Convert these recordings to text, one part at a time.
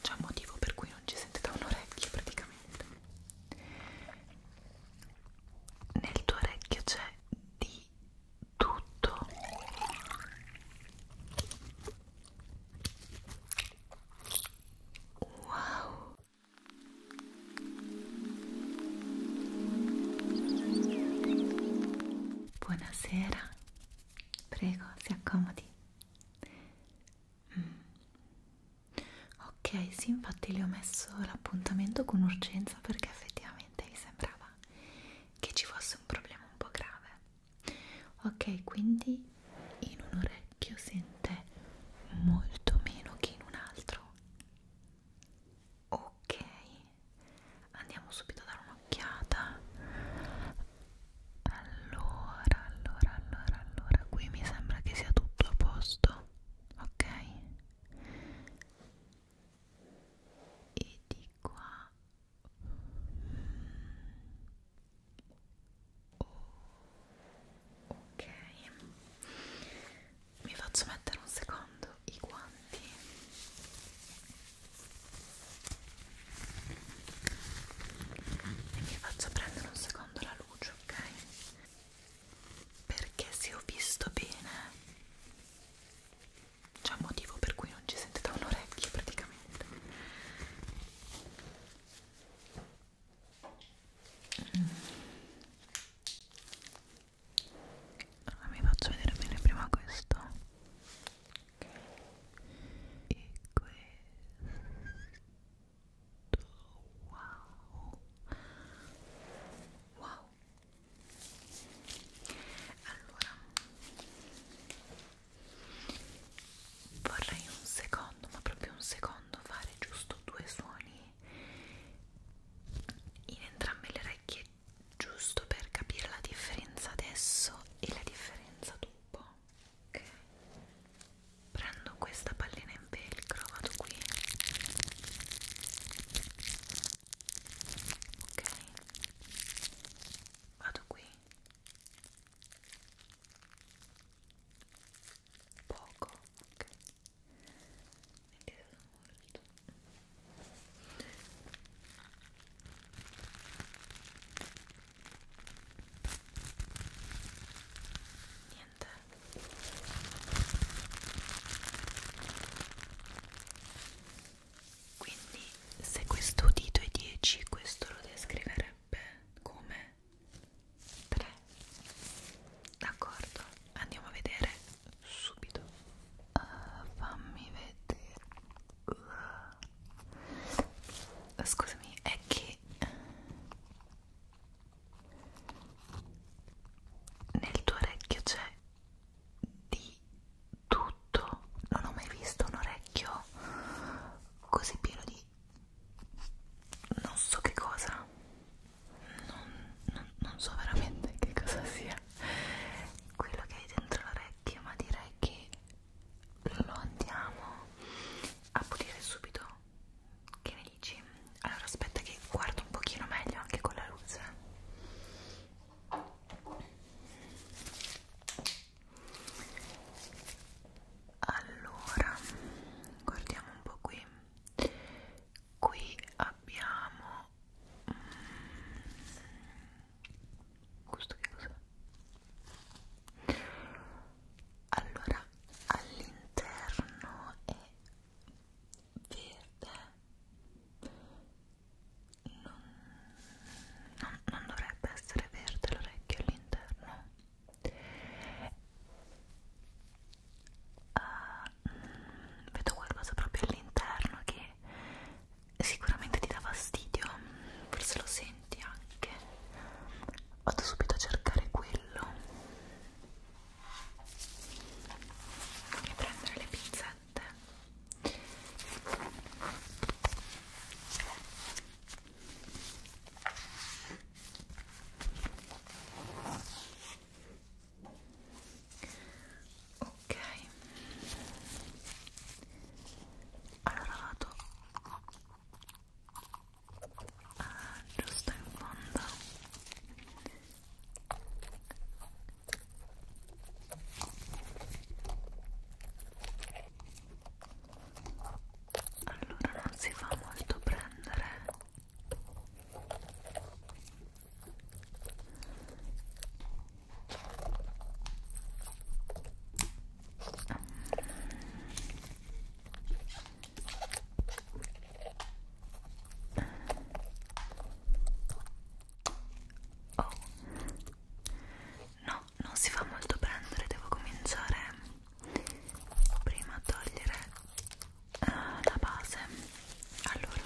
c'è un motivo per cui non ci sente da un orecchio praticamente nel tuo orecchio c'è di tutto wow Buonasera, prego si accomodi. Mm. Ok, sì, infatti le ho messo l'appuntamento con urgenza perché effettivamente mi sembrava che ci fosse un problema un po' grave. Ok, quindi in un orecchio sente molto meno che in un altro. Ok, andiamo subito a dare un'occhiata. Allora, allora, allora, allora, qui mi sembra che sia tutto a posto, ok? E di qua... Oh, ok, mi faccio mettere un secondo i guanti e mi faccio prendere un secondo la luce, ok? Perché se ho visto bene c'è un motivo per cui non ci sente da un orecchio praticamente. Mm. Allora, mi faccio vedere bene prima questo e questo wow wow allora vorrei un secondo ma proprio un secondo fare giusto due suoni in entrambe le orecchie giusto per capire la differenza adesso e la differenza dopo ok prendo questa pallina in velcro vado qui ok vado qui poco ok Indietro molto niente quindi se questo dito è 10 questo lo descriverebbe come 3 d'accordo andiamo a vedere subito uh, fammi vedere uh. Scusami, è che nel tuo orecchio c'è di tutto. Non ho mai visto un orecchio così pieno di non so che cosa. Non, non, non so veramente che cosa sia quello che hai dentro l'orecchio, ma direi che lo andiamo a pulire subito che ne dici? allora aspetta che guardo un pochino meglio anche con la luce allora guardiamo un po' qui qui abbiamo mm, questo che cos'è? allora all'interno è verde non, non, non dovrebbe essere verde l'orecchio all'interno uh, vedo qualcosa proprio all'interno che sicuramente ti dà fastidio, forse lo senti anche. Vado subito a cercare quello e prendere le pinzette. Ok, allora vado ah, giusto in fondo allora non si fa molto prendere Oh. No, non si fa molto prendere, devo cominciare prima a togliere uh, la base. Allora,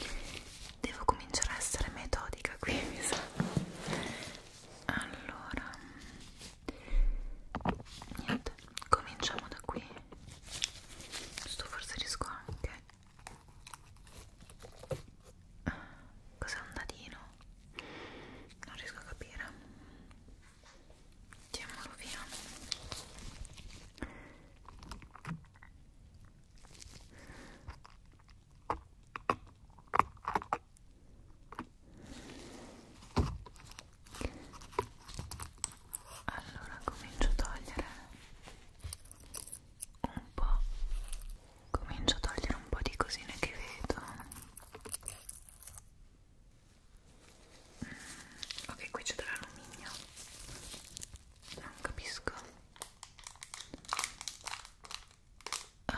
devo cominciare a essere metodica qui, mi sa allora niente cominciamo da qui sto forse riesco anche cos'è un dadino non riesco a capire mettiamolo via allora comincio a togliere un po', comincio a togliere un po' di cosine che vedo. Mm, ok, qui c'è dell'alluminio. Non capisco uh,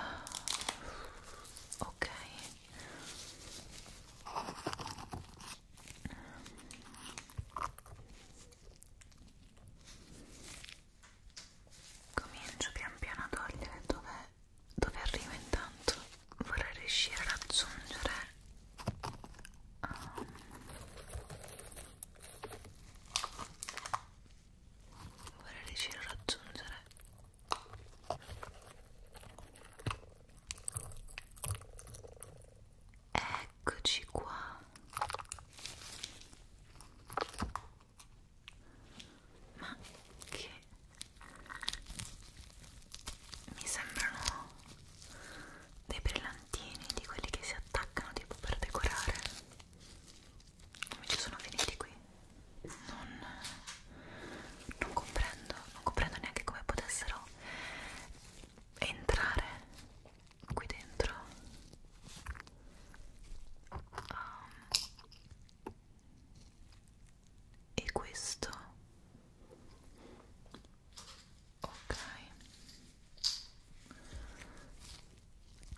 ok comincio pian piano a togliere dove, dove arrivo intanto vorrei riuscire a raggiungere um, vorrei riuscire a raggiungere eccoci qua ma che mi sembrano dei brillantini di quelli che si attaccano tipo per decorare come ci sono finiti qui non, non comprendo non comprendo neanche come potessero entrare qui dentro um, e questo ok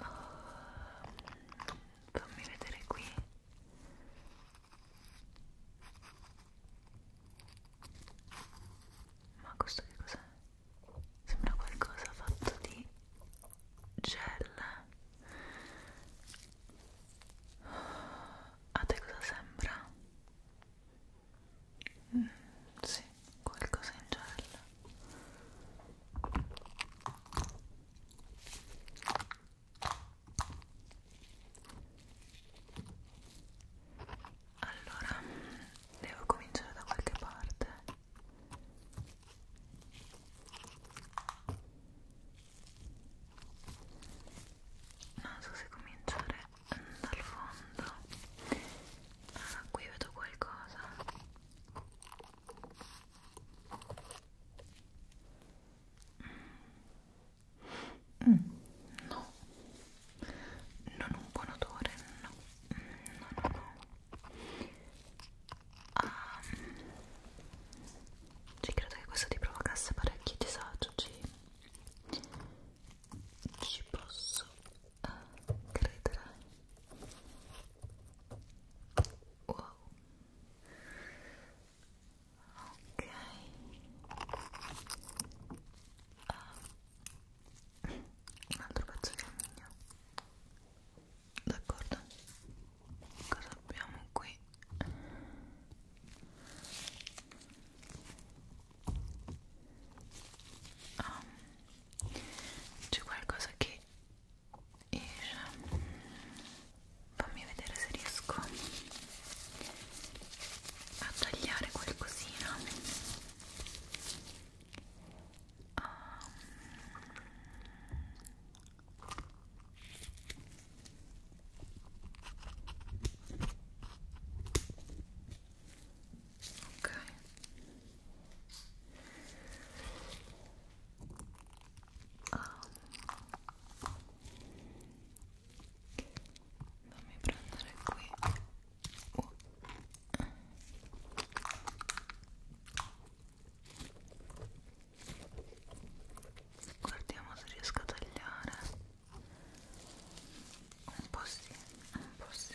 uh, fammi vedere qui ma questo che cos'è? sembra qualcosa fatto di gel a te cosa sembra? Mm, sì, qualcosa in gel allora, devo cominciare da qualche parte. Non so se cominciare dal fondo. Ah, qui vedo qualcosa. Mm, no, non un buon odore, no, no, no, no. Ah, ci credo che questo ti provocasse parecchio disagio, ci, ci posso eh, credere Wow. Ok. Uh. Un altro pezzo di alluminio. D'accordo. Cosa abbiamo qui? Um, c'è qualcosa che e ehm, fammi vedere se riesco a tagliare qualcosina um, ok Ah. Fammi prendere qui. Uh. Guardiamo se riesco a tagliare. Un po' sì, un po' sì.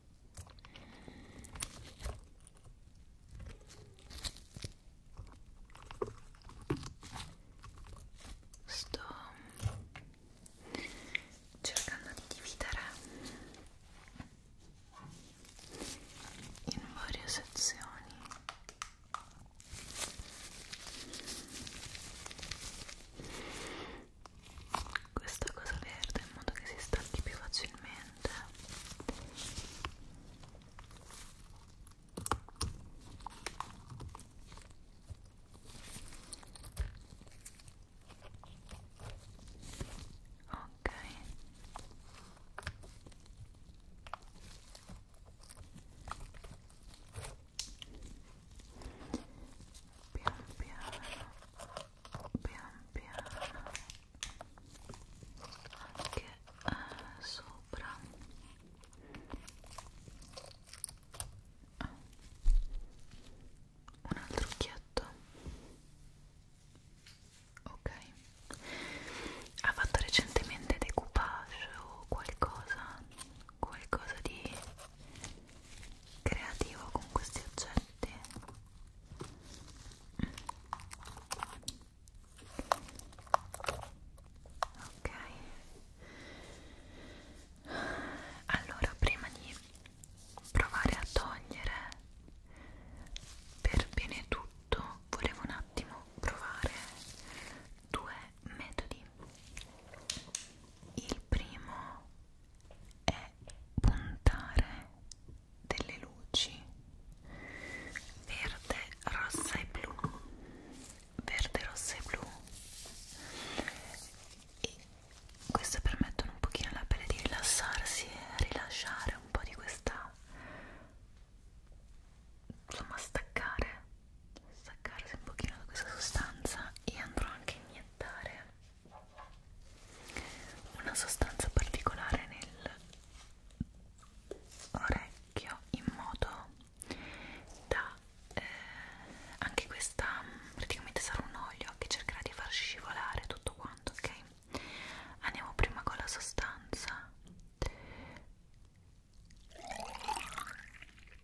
Sto cercando di dividere in varie sezioni questa cosa verde in modo che si stacchi più facilmente ok pian piano pian piano anche eh, sopra un altro occhietto ok ha fatto recentemente decoupage o qualcosa qualcosa di creativo con questi oggetti ok allora prima di provare a togliere per bene tutto volevo un attimo provare due metodi il primo è puntare delle luci verde, rossa e blu verde, rossa e blu e queste permettono un pochino alla pelle di rilassarsi e rilasciare un po' di questa insomma staccare staccarsi un pochino da questa sostanza e andrò anche a iniettare una sostanza particolare nel orecchio in modo da eh, anche questa praticamente sarà un olio che cercherà di far scivolare tutto quanto ok andiamo prima con la sostanza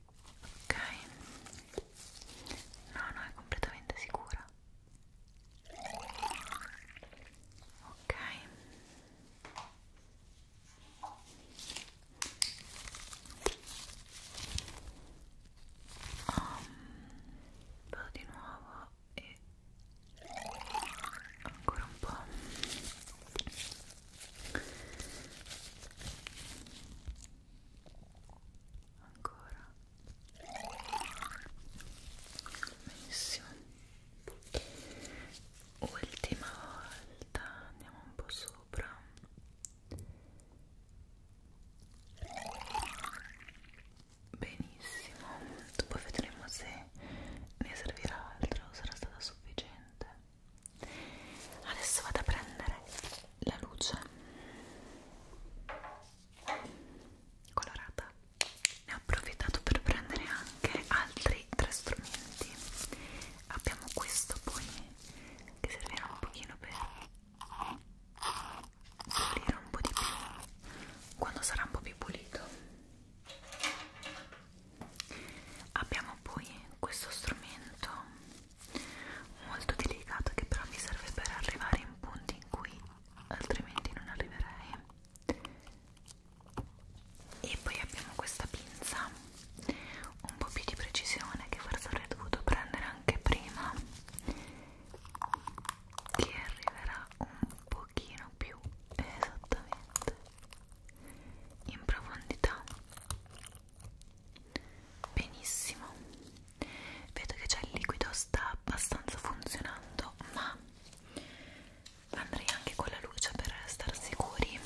ok no no è completamente sicura ok oh, vado di nuovo e ancora un po' ancora benissimo ultima volta andiamo un po' sopra benissimo dopo vedremo se ne servirà altro sarà stata sufficiente adesso vado a prendere la luce colorata ne ho approfittato per prendere anche altri tre strumenti abbiamo questo poi che servirà un pochino per pulire un po' di più quando sarà un po' più pulito abbiamo poi questo strumento molto delicato che però mi serve per arrivare in punti in cui altrimenti non arriverei e poi abbiamo questa pinza un po' più di precisione che forse avrei dovuto prendere anche prima che arriverà un pochino più esattamente in profondità benissimo vedo che già il liquido sta abbastanza funzionando ma andrei anche con la luce per star sicuri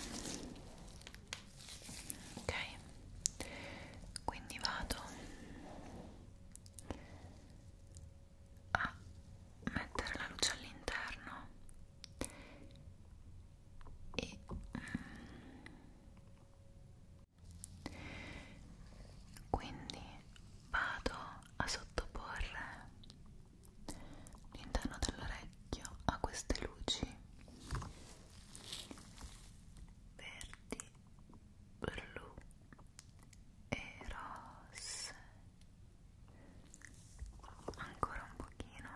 ok quindi vado a mettere la luce all'interno e mm, quindi vado a sottoporre l'interno dell'orecchio a queste luci verdi, blu e rosse ancora un pochino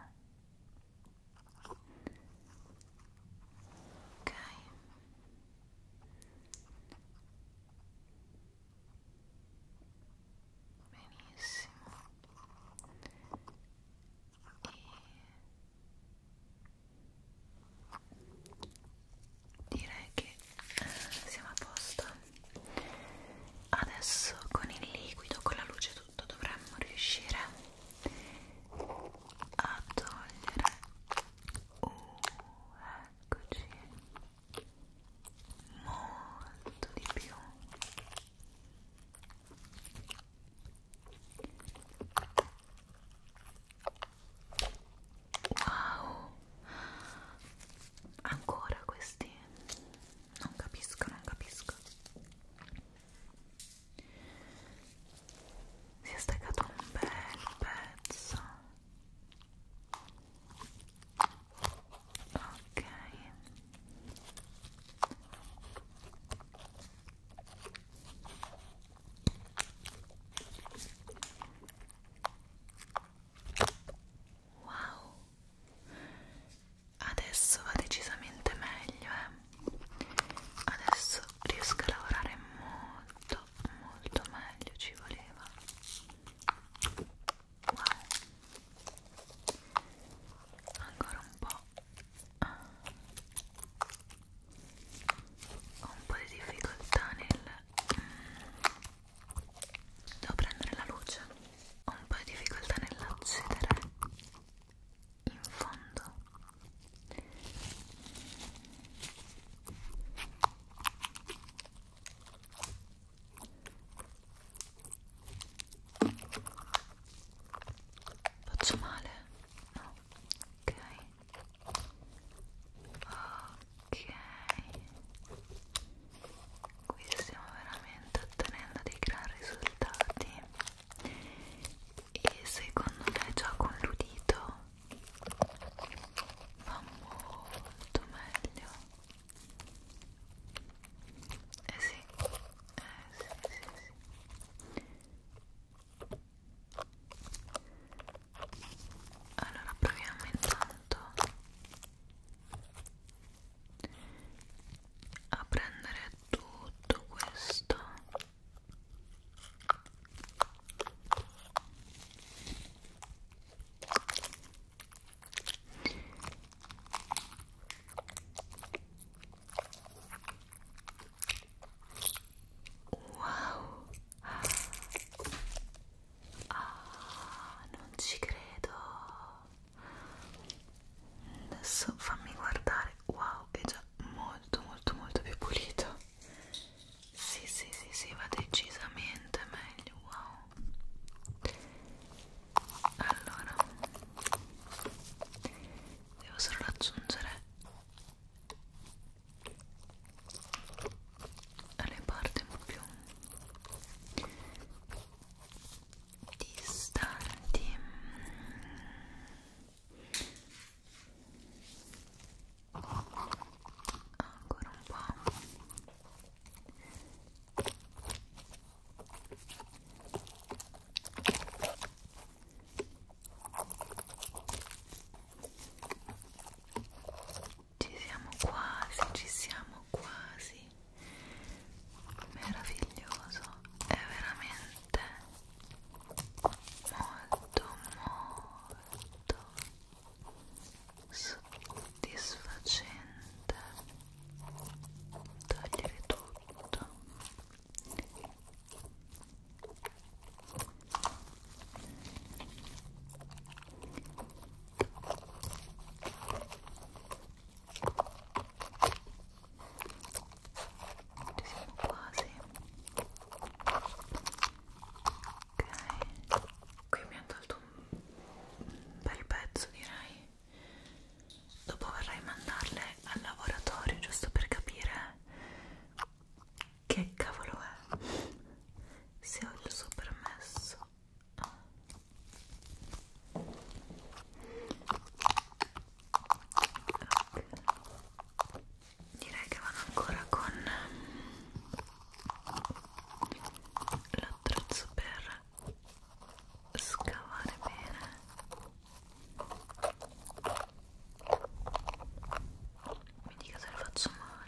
ok benissimo e direi che siamo a posto adesso con il liquido con la luce innanzitutto dovremmo riuscire a togliere uh, eccoci molto di più wow ancora questi non capisco non capisco si è staccato un bel pezzo ok wow adesso va decisamente meglio eh adesso riesco a lavorare molto molto meglio ci voleva wow ancora un po' ho un po' di difficoltà nel mm, devo prendere la luce ho un po' di difficoltà nell'accedere in fondo faccio male? no? ok ok qui stiamo veramente ottenendo dei gran risultati e secondo me già con l'udito va molto meglio eh sì, eh sì, sì, sì. allora proviamo intanto a prendere tutto questo wow ah, non ci credo adesso fammi guardare wow è già molto molto molto più pulito sì sì sì sì va decisamente meglio wow allora devo solo aggiungere le parti un po' più distanti ancora un po' ci siamo quasi, ci siamo quasi meraviglioso è veramente molto molto soddisfacente togliere tutto ci siamo quasi. Ok. Qui mi ha tolto un bel pezzo, direi. Dopo vorrei mandarle al laboratorio giusto per capire che cavolo è. Se ho il suo permesso. Ah ok direi che vado ancora con l'attrezzo per scavare bene mi dica se lo faccio male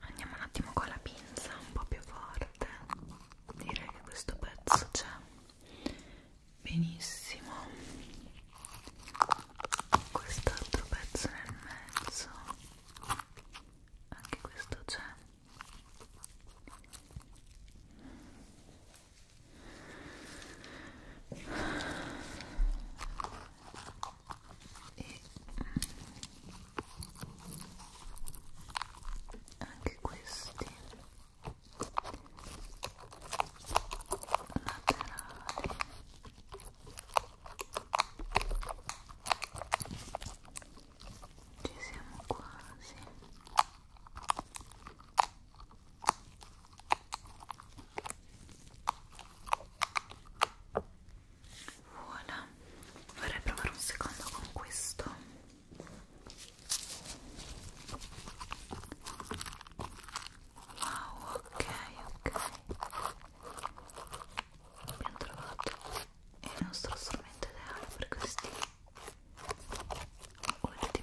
Andiamo un attimo con la pinza un po' più forte. Direi che questo pezzo c'è benissimo. Quest'altro pezzo nel mezzo. Anche questo c'è e anche questi laterali ci siamo quasi ok Voilà. Vorrei provare un secondo con questo. Wow, ok, ok. Abbiamo trovato il nostro strumento ideale per questi ultimi punti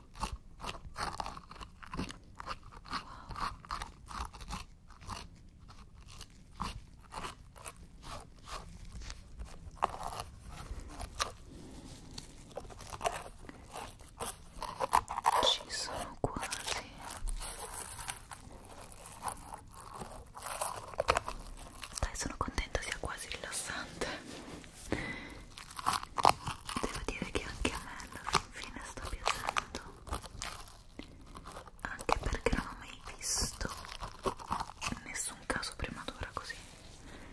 Wow. Ci sono quasi. Dai, sono contenta sia quasi rilassante devo dire che anche a me alla fin fine sta piacendo anche perché non ho mai visto nessun caso prima d'ora così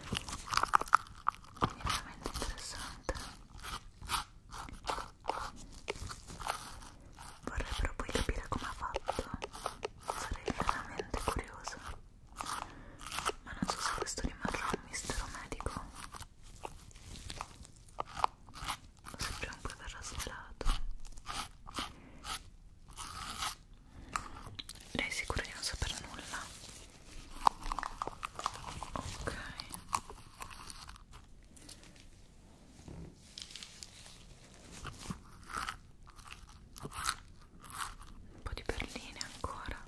quindi è veramente interessante vorrei però poi capire come ha fatto sarei veramente curiosa ma non so se questo rimarrà un mistero medico sempre un po' per rasollato lei è sicura di non sapere nulla? ok un po' di perline ancora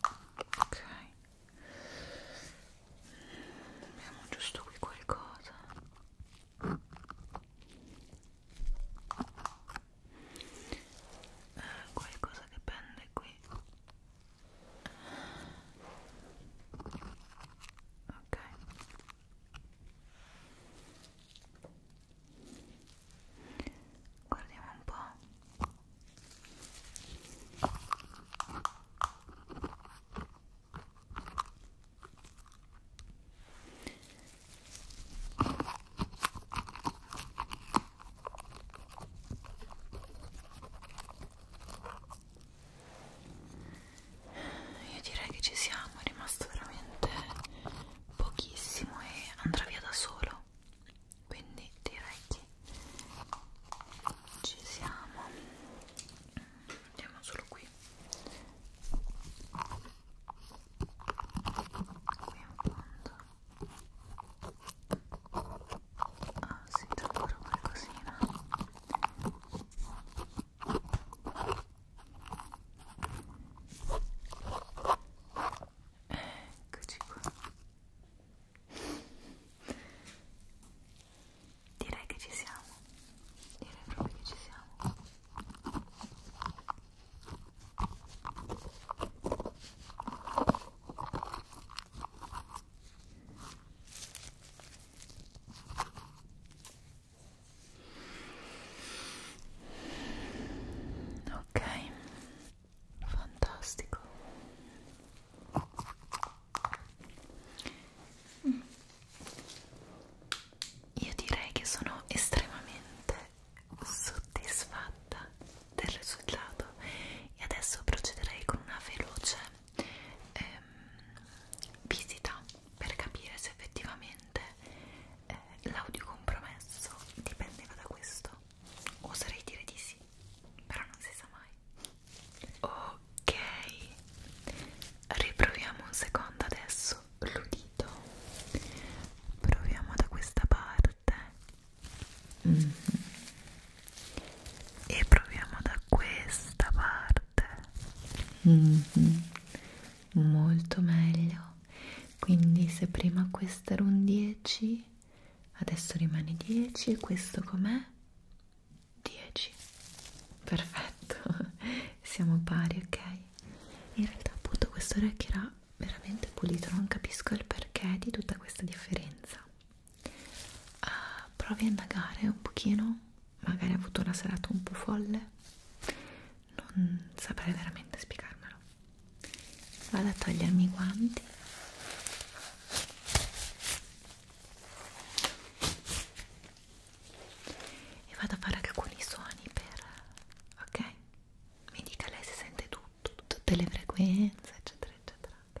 ok abbiamo giusto qui qualcosa eh, qualcosa che pende qui ok guardiamo un po' io direi che ci siamo, è rimasto veramente pochissimo e andrà via da solo dentro ecco. quindi direi che ci siamo andiamo solo qui qui in fondo ah si sì, ancora qualcosina ok Eccoci qua. Direi che ci siamo. Direi proprio che ci siamo. Ok, fantastico mm. io direi che sono estremamente soddisfatta del risultato e adesso procederei con una veloce ehm, visita per capire se effettivamente eh, l'audio compromesso dipendeva da questo Oserei dire di sì, però non si sa mai. Ok, riproviamo un secondo adesso l'udito. Proviamo da questa parte mm -hmm. e proviamo da questa parte. Mm -hmm. Molto meglio quindi se prima questo era un 10 adesso rimane 10 e questo com'è? 10 perfetto siamo pari ok in realtà appunto questo orecchio era veramente pulito non capisco il perché di tutta questa differenza uh, provi a indagare un pochino magari ha avuto una serata un po' folle non saprei veramente spiegarmelo vado a togliermi i guanti e vado a fare alcuni suoni per ok mi dica lei si sente tutto tutte le frequenze eccetera eccetera ok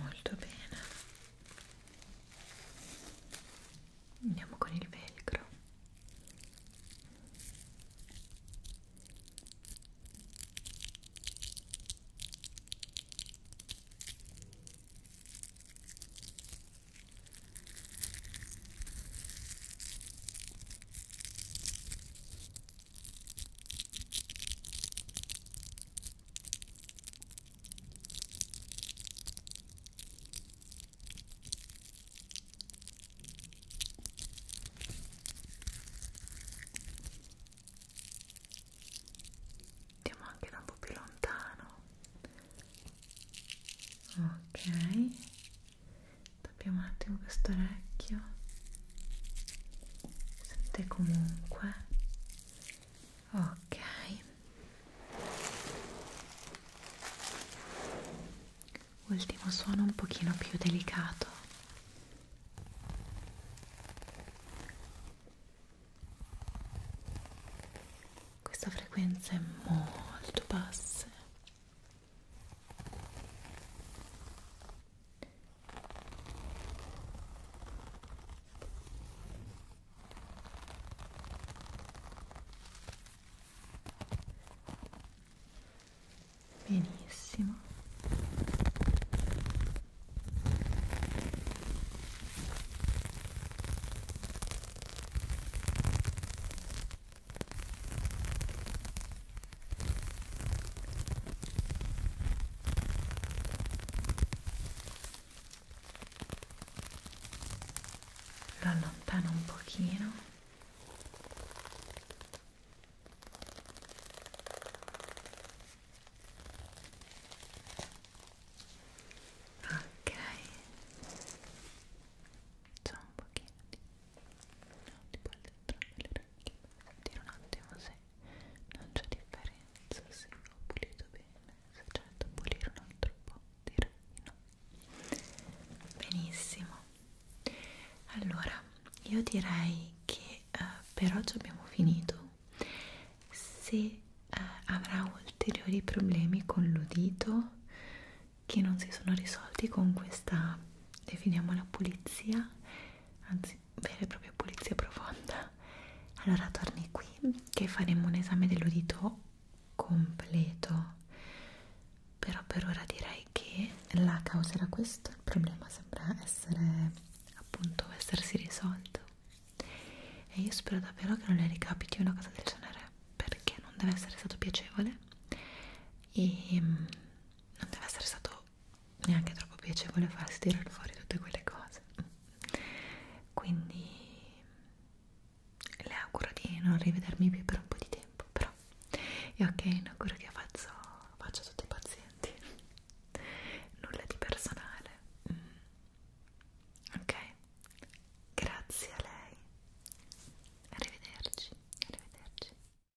molto bene andiamo con il velcro Andiamo anche da un po' più lontano. Ok, tappiamo un attimo questo orecchio sente comunque ok ultimo suono un pochino più delicato questa frequenza è molto bassa Benissimo lo allontano un pochino ok c'è un pochino di tipo al dentro delle orecchie per sentire un attimo se non c'è differenza se ho pulito bene se c'è da pulire un altro po' direi no benissimo allora io direi che eh, per oggi abbiamo finito se eh, avrà ulteriori problemi con l'udito che non si sono risolti con questa definiamo la pulizia anzi vera e propria pulizia profonda allora torni qui che faremo un esame dell'udito completo però per ora direi che la causa era questa il problema sembra essere appunto essersi risolto e io spero davvero che non le ricapiti una cosa del genere perché non deve essere stato piacevole e mm, non deve essere stato neanche troppo piacevole farsi tirare fuori tutte quelle cose quindi le auguro di non rivedermi più per un po' di tempo però e ok, ne auguro che faccio, faccio tutti i pazienti nulla di personale mm. ok grazie a lei arrivederci arrivederci